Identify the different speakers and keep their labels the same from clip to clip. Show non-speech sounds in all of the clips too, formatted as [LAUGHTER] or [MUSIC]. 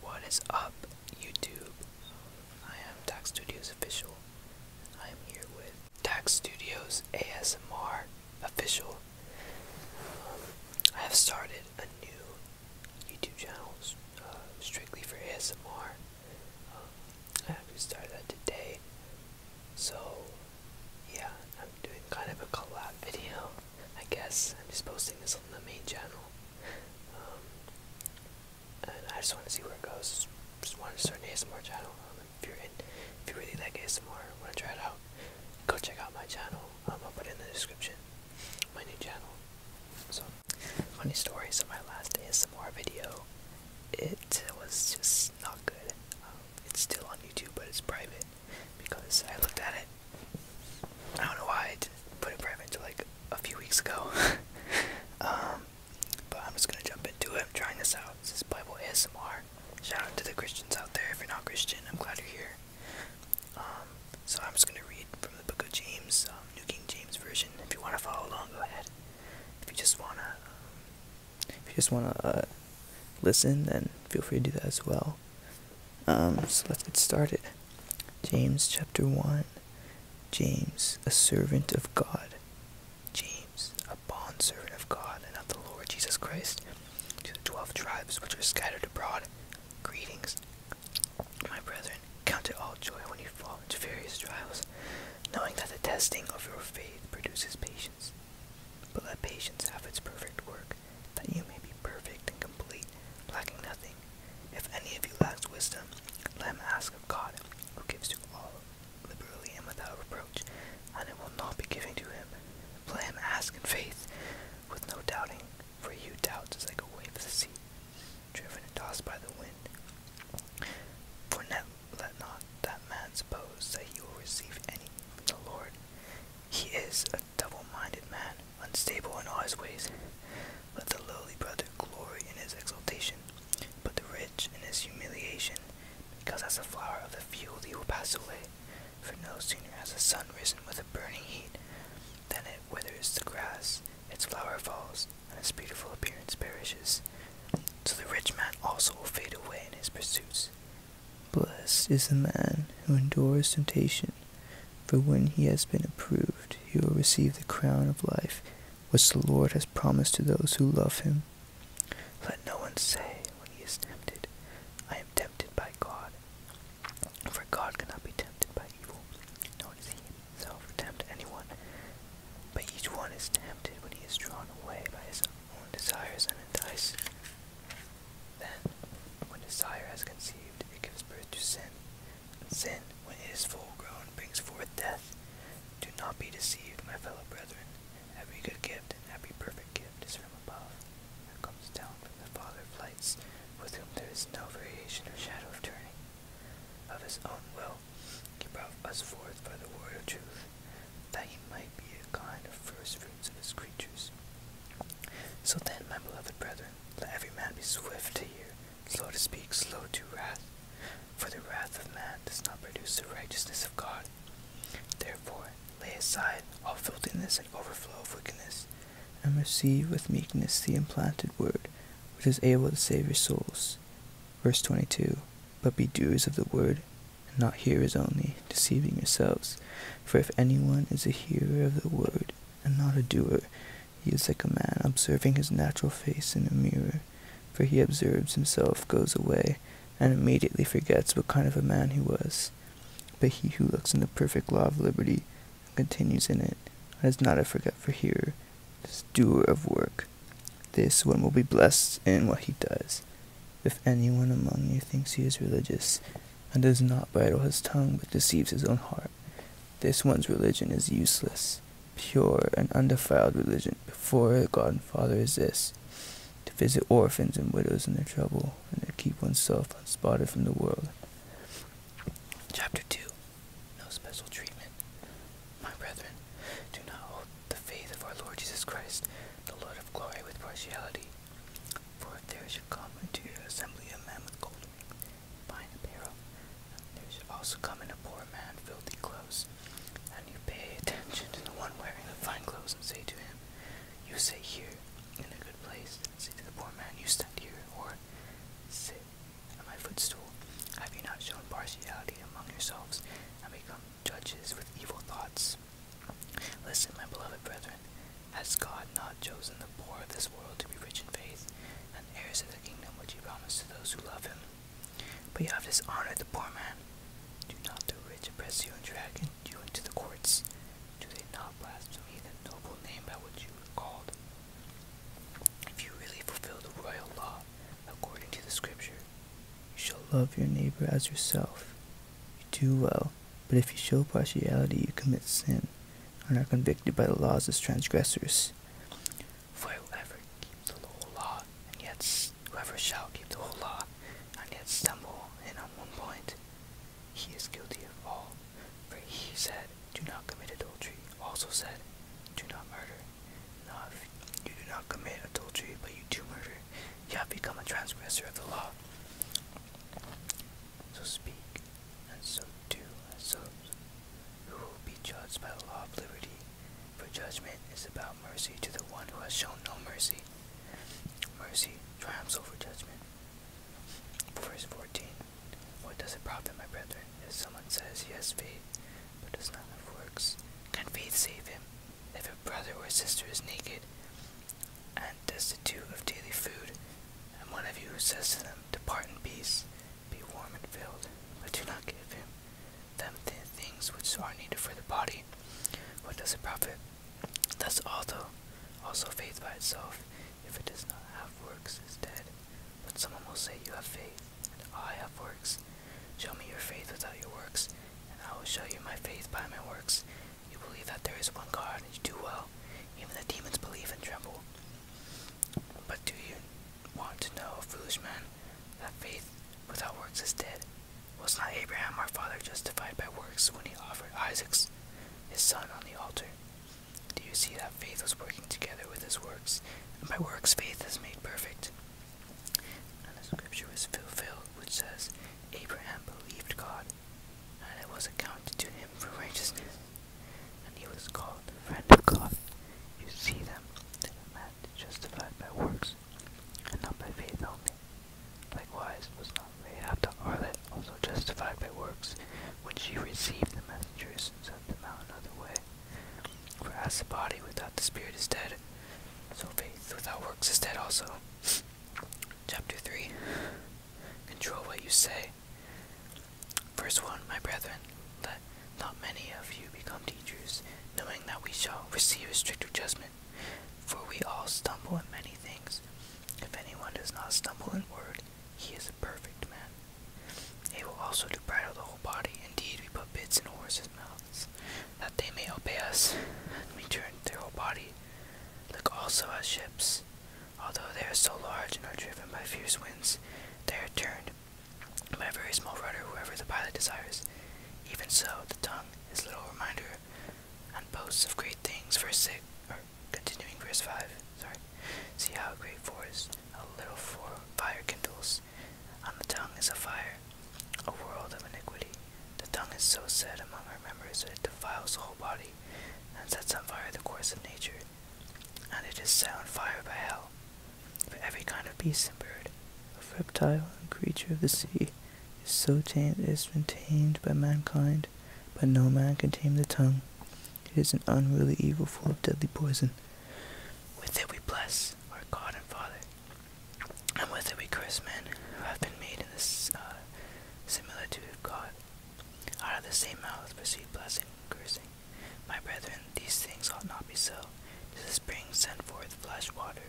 Speaker 1: What is up, YouTube? I am Tax Studios Official. I am here with Tax Studios ASMR Official. I have started a new YouTube channel uh, strictly for ASMR. I have started that today. So, yeah, I'm doing kind of a collab video. I guess. I'm just posting this on the main channel. Um, and I just want to see where it goes. Just want to start an ASMR channel. Um, if you're in, if you really like ASMR, want to try it out, go check out my channel. Um, I'll put in the description. My new channel. So, funny story. So my last ASMR video, it was just not good. Um, it's still on YouTube, but it's private because I looked at it I don't know why I put it private until like a few weeks ago. [LAUGHS] Um, but I'm just gonna jump into it. I'm trying this out. This is Bible ASMR. Shout out to the Christians out there. If you're not Christian, I'm glad you're here. Um, so I'm just gonna read from the Book of James, um, New King James Version. If you wanna follow along, go ahead. If you just
Speaker 2: wanna, if you just wanna uh, listen, then feel free to do that as well. Um, so let's get started. James chapter 1. James, a servant of God. James, a bondservant of
Speaker 1: God and of the Lord Jesus Christ, to the twelve tribes which are scattered abroad. Greetings, my brethren. Count it all joy when you fall into various trials, knowing that the testing of your faith produces patience. But let patience have its perfect work, that you may be perfect and complete, lacking nothing. If any of you lacks wisdom, let him ask of God, who gives to all liberally and without reproach, and it will not be given to him. Let him ask in faith, with no doubting, for you doubt as like a wave of the sea, driven and tossed by the wind. For net, let not that man suppose that he will receive any from the Lord. He is a double-minded man, unstable in all his ways. Let the lowly brother glory in his exaltation, but the rich in his humiliation, because as the flower of the field he will pass away. For no sooner has the sun risen with a burning heat than it withers the grass, its flower falls, and its beautiful appearance perishes. So the rich man also will fade away in his
Speaker 2: pursuits. Blessed is the man who endures temptation, for when he has been approved, he will receive the crown of life which the Lord has promised to those who love him. Let no one say when he is tempted, I am tempted by God. For God cannot be tempted by evil, nor does he himself tempt anyone. But each one is tempted
Speaker 1: when he is drawn away by his own desires and enticed. Then, when desire has conceived, it gives birth to sin. sin, when it is full grown, brings forth death. Do not be deceived, my fellow brethren. Every good gift and every perfect gift is from above, and comes down from the Father of lights, with whom there is no variation or shadow of turning. Of his own will, he brought us forth by the word of truth, that he might be a kind of first fruits of his creatures. So then, my beloved brethren, let every man be swift to hear, slow to speak, slow to wrath. For the wrath of man does not produce the righteousness of God. Therefore, lay aside all filthiness and overflow of wickedness,
Speaker 2: and receive with meekness the implanted word, which is able to save your souls. Verse 22 But be doers of the word, and not hearers only, deceiving yourselves. For if anyone is a hearer of the word and not a doer. He is like a man observing his natural face in a mirror, for he observes himself, goes away, and immediately forgets what kind of a man he was. But he who looks in the perfect law of liberty and continues in it, is not a forgetful hearer, is doer of work. This one will be blessed in what he does. If anyone among you thinks he is religious, and does not bridle his tongue, but deceives his own heart. This one's religion is useless. Pure and undefiled religion before God and Father is this to visit orphans and widows in their trouble, and to keep oneself unspotted from the world. Chapter 2 No Special Treatment.
Speaker 1: My brethren, do not hold the faith of our Lord Jesus Christ, the Lord of glory, with partiality. For if there should come into your assembly a man with gold fine apparel, there should also come in a poor man filthy clothes, and you pay attention to the one wearing the fine clothes and say to him, You sit here in a good place, and say to the poor man, You sit here, or sit at my footstool. Have you not shown partiality among yourselves, and become judges with evil thoughts? Listen, my beloved brethren, has God not chosen the poor of this world to be rich in faith and heirs of the kingdom which he promised to those who love him? But you have dishonored the poor man. Do not the rich oppress you and drag you into the courts? Do they not blaspheme the noble name by which you were called?
Speaker 2: If you really fulfill the royal law according to the scripture, you shall love your neighbor as yourself. You do well. But if you show partiality, you commit sin, are not convicted by the laws as transgressors. For ever keeps the whole law,
Speaker 1: and yet whoever shall keep the whole law, and yet stumble in on one point, he is guilty of all. For he said, Do not commit adultery, also said, Do not murder. Now, if you do not commit adultery, but you do murder, you have become a transgressor of the law. So speak, and so do as those who will be judged by the law of liberty, for judgment is about mercy to the one who has shown no mercy. Mercy triumphs over judgment. Verse 14 What does it profit, my brethren, if someone says yes, faith, but does not have works? Can faith save him? If a brother or sister is naked, and destitute of daily food, and one of you says to them, Depart in peace, be warm and filled, but do not give him them the things which are needed for the body. What does it profit? Thus also, also faith by itself, if it does not have works, is dead. But someone will say, You have faith, and I have works. Show me your faith without your works, and I will show you my faith by my works. You believe that there is one God, and you do well. Even the demons believe and tremble. But do you want to know, foolish man, that faith without works is dead? Was not Abraham our father justified by works when he offered Isaac his son on the altar? Do you see that faith was working together with his works, and by works faith is made perfect? And the scripture was fulfilled, which says, Abraham believed God, and it was accounted to him for righteousness, and he was called the friend of God. You see them, that a justified by works, and not by faith only. Likewise, was not Rahab the harlot also justified by works, when she received the messengers and sent them out another way? For as the body without the spirit is dead, so faith without works is dead also. Chapter 3 Control what you say. First, 1 My brethren, let not many of you become teachers, knowing that we shall receive a stricter judgment. For we all stumble in many things. If anyone does not stumble in word, he is a perfect man. will also to bridle the whole body. Indeed, we put bits in horses' mouths, that they may obey us, and we turn their whole body. Look also at ships. Although they are so large and are driven by fierce winds, they are turned by a very small rudder whoever the pilot desires. Even so, the tongue is a little reminder and boasts of great things, verse 6, or continuing verse 5, sorry. See how a great forest a little fire kindles. On the tongue is a fire, a world of iniquity. The tongue is so set among our members that it defiles the whole body and sets on fire the course of nature, and it is set on fire by hell.
Speaker 2: For every kind of beast and bird, of reptile and creature of the sea, is so tamed that it has been tamed by mankind, but no man can tame the tongue. It is an unruly evil full of deadly poison. With it we bless
Speaker 1: our God and Father, and with it we curse men who have been made in this uh, similar to God. Out of the same mouth proceed blessing and cursing. My brethren, these things ought not be so. Does a spring send forth fresh water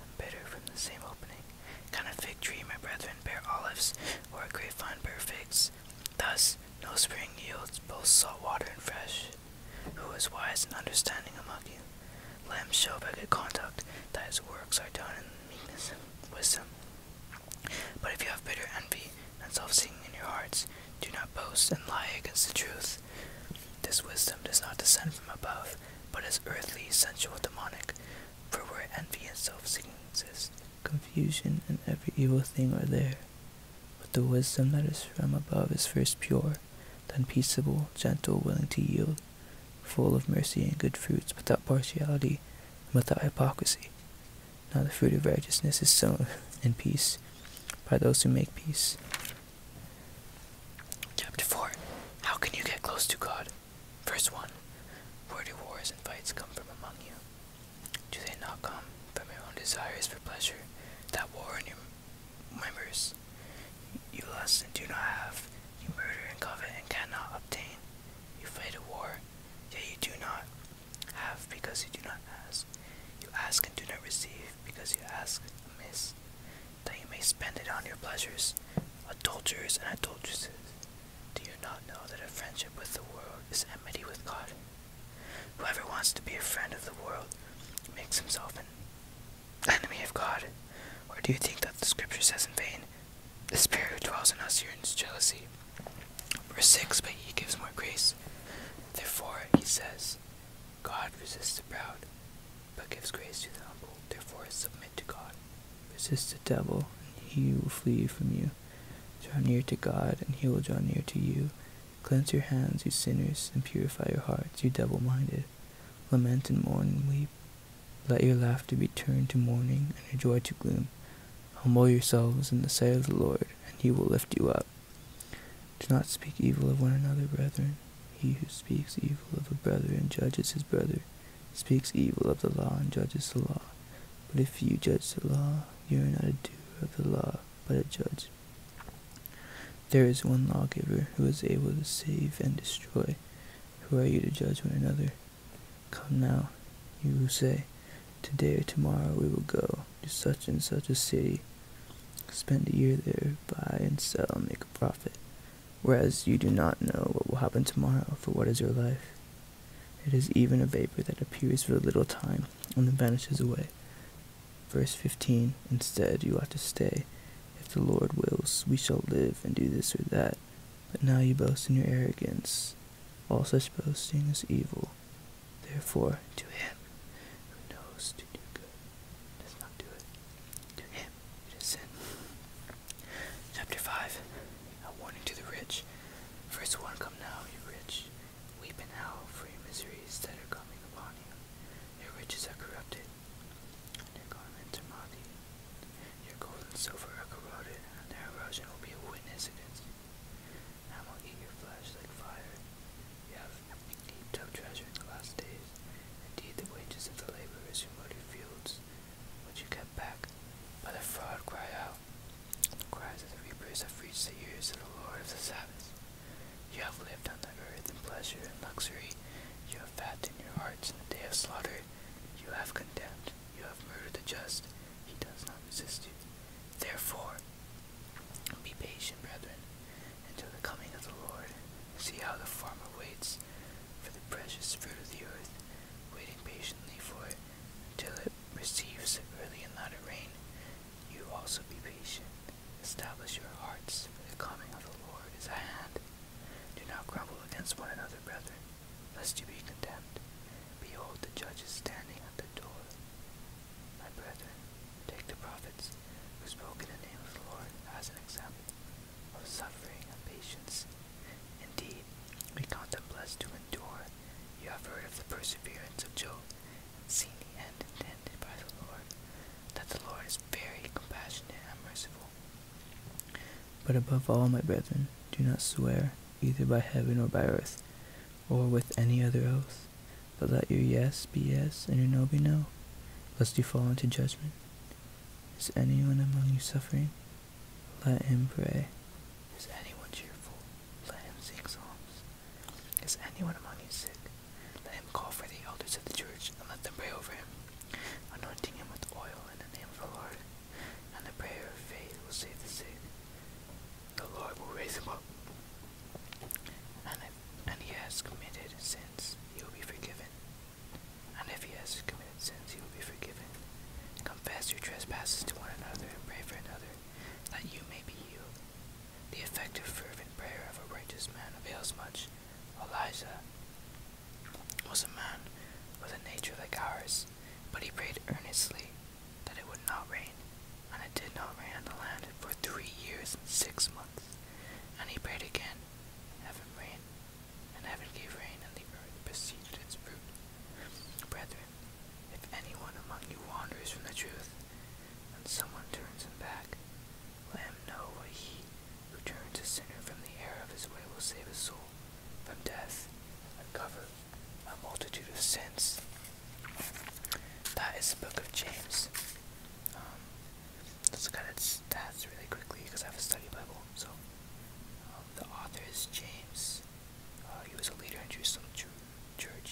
Speaker 1: and bitter from the same opening?
Speaker 2: Can a fig tree, my brethren, bear olives, or a grapevine bear figs? Thus, no spring yields both salt water and fresh.
Speaker 1: Who is wise and understanding among you? Let him show by good conduct that his works are done in meekness and wisdom. But if you have bitter envy and self-seeking in your hearts, do not boast and lie against the truth. This wisdom does not descend from above, but is earthly, sensual, demonic. For where envy and
Speaker 2: self-seeking exist, confusion and every evil thing are there. But the wisdom that is from above is first pure, then peaceable, gentle, willing to yield, full of mercy and good fruits, without partiality and without hypocrisy. Now the fruit of righteousness is sown in peace by those who make peace. Chapter 4
Speaker 1: How can you get close to God? Verse 1 Where do wars and fights come from among you? Do they not come from your own desires for pleasure that war in your members? You lust and do not have you murder and covet and cannot obtain. You fight a war, yet you do not have because you do not ask. You ask and do not receive because you ask amiss, that you may spend it on your pleasures. Adulterers and adulteresses, do you not know that a friendship with the world is enmity with God? Whoever wants to be a friend of the world makes himself an enemy enemy of God? Or do you think that the scripture says in vain, The Spirit who dwells in us yearns jealousy? Verse 6 But he gives more grace. Therefore, he says, God resists the proud, but gives grace to the humble. Therefore,
Speaker 2: submit to God. Resist the devil, and he will flee from you. Draw near to God, and he will draw near to you. Cleanse your hands, you sinners, and purify your hearts, you double minded. Lament and mourn and weep. Let your laughter be turned to mourning and your joy to gloom. Humble yourselves in the sight of the Lord, and he will lift you up. Do not speak evil of one another, brethren. He who speaks evil of a brother and judges his brother speaks evil of the law and judges the law. But if you judge the law, you are not a doer of the law, but a judge. There is one lawgiver who is able to save and destroy. Who are you to judge one another? Come now, you who say, Today or tomorrow we will go to such and such a city, spend a year there, buy and sell, make a profit. Whereas you do not know what will happen tomorrow, for what is your life? It is even a vapor that appears for a little time and then vanishes away. Verse 15 Instead, you ought to stay if the Lord wills, we shall live and do this or that. But now you boast in your arrogance. All such boasting is evil. Therefore, to him who knows to do good does not do it,
Speaker 1: to him it is sin. Chapter 5 A warning to the rich. Verse 1 Come now, you rich, weep and howl for your miseries that are coming upon you. Your riches are corrupted their garments are muddy. Your gold and silver are corroded, and their erosion will be a witness against you. And I will eat your flesh like fire. You have heaped up treasure in the last days. Indeed, the wages of the laborers who mowed your fields, which you kept back, but the fraud cry out. The cries of the reapers have reached the ears of the Lord of the Sabbath. You have lived on the earth in pleasure and luxury, you have fat in your hearts in the day of slaughter. You have condemned. You have murdered the just. He does not resist you. Therefore, be patient, brethren, until the coming of the Lord. See how the farmer waits for the precious fruit of the earth, waiting patiently for it until it receives it early and not rain. You also be patient. Establish your hearts, for the coming of the Lord is at hand. Do not grumble against one another, brethren, lest you be condemned. Behold, the judge is standing at the door. My brethren, take the prophets who spoke in the name of the Lord as an example of suffering and patience. Indeed, we count them blessed to endure. You have heard of the perseverance of Job, and seen the end intended by the Lord, that the
Speaker 2: Lord is very compassionate and merciful. But above all, my brethren, do not swear, either by heaven or by earth, or with any other oath, but let your yes be yes, and your no be no, lest you fall into judgment. Is anyone among you suffering? Let him pray. Is anyone cheerful? Let him sing
Speaker 1: songs. Is anyone among you sick? Let him call for the elders of the church, and let them pray over him anointing him with oil in the name of the Lord. And the prayer of faith will save the sick. The Lord will raise him up. And if and he has committed sins, he will be forgiven. And if he has committed sins, he will be forgiven. Confess your trespasses to one another and pray for another, that you may be healed. The effective, fervent prayer of a righteous man avails much. Elijah was a man with a nature like ours, but he prayed earnestly that it would not rain, and it did not rain on the land for three years and six months. And he prayed again, Heaven rain, and heaven gave rain, and the earth preceded its fruit. Brethren, if anyone among you wanders from the truth, and someone turns him back, let him know what he who turns a sinner from the error of his way will save his soul from death and cover a multitude of sins. That is the book of James. Um, let's look at its stats really quickly because I have a study Bible. So, um, the author is James. Uh, he was a leader in Jerusalem Church.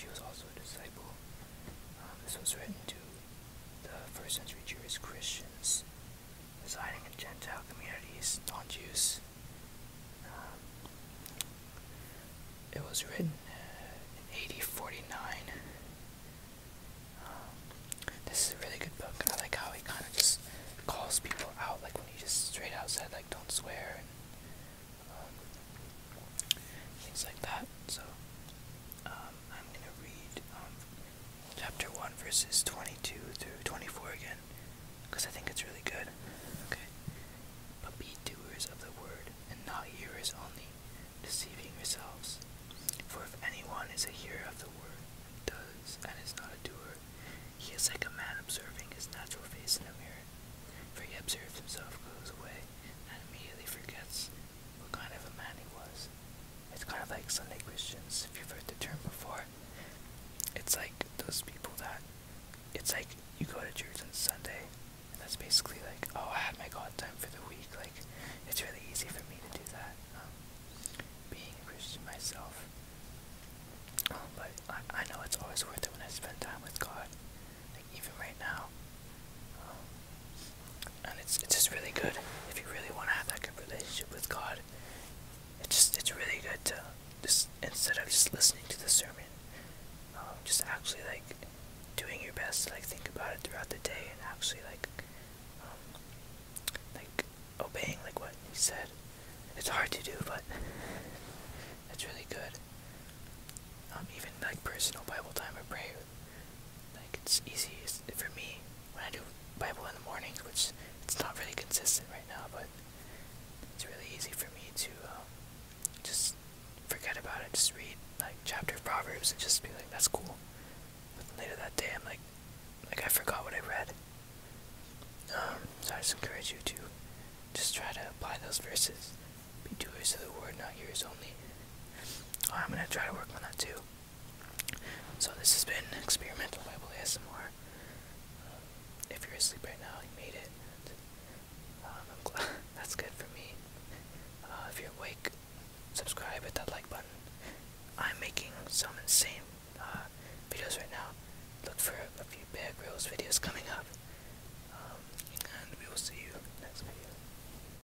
Speaker 1: He was also a disciple. Um, this was written to the first century Jewish Christians residing in Gentile communities, non Jews. Um,
Speaker 2: it was written
Speaker 1: uh, in 8049. Um, this is a really good book. I like how he kind of just calls people out, like when he just straight out said, like, don't swear and um, things like that. So, I'm gonna read chapter 1, verses 22 through 24 again, because I think it's really good. Okay. But be doers of the word, and not hearers only, deceiving yourselves. For if anyone is a hearer of the word, and does, and is not a doer, he is like a man observing his natural face in a mirror. For he observes himself, goes away, and immediately forgets what kind of a man he was. It's kind of like Sunday Christians, if you've heard the term before. It's like those people that, it's like you go to church on Sunday, and that's basically like, oh, I had my God time for the week. Like, it's really easy for me to do that, um, being a Christian myself. Um, but I, I know it's always worth it when I spend time with God, like even right now. Um, and it's it's just really good if you really want to have that good relationship with God. It's just it's really good to just instead of just listening to the sermon, um, just actually like doing your best to like think about it throughout the day and actually like um, like obeying like what he said. It's hard to do, but it's really good. Um, even like personal Bible time or prayer like it's easy for me when I do Bible in the mornings, which it's not really consistent right now, but it's really easy for me to um, just forget about it. Just read like chapter of Proverbs and just be like, that's cool. But later that day, I'm like, like I forgot what I read. Um, so I just encourage you to just try to apply those verses. Be doers of the word, not yours only. Oh, I'm gonna try to work on that too. So this has been experimental Bible ASMR. if you're asleep right now, you made it. Um, [LAUGHS] that's good for me. Uh, if you're awake, subscribe hit that like button. I'm making some insane uh, videos right now. Look for a few big girls videos coming up. Um, and we will see you next video.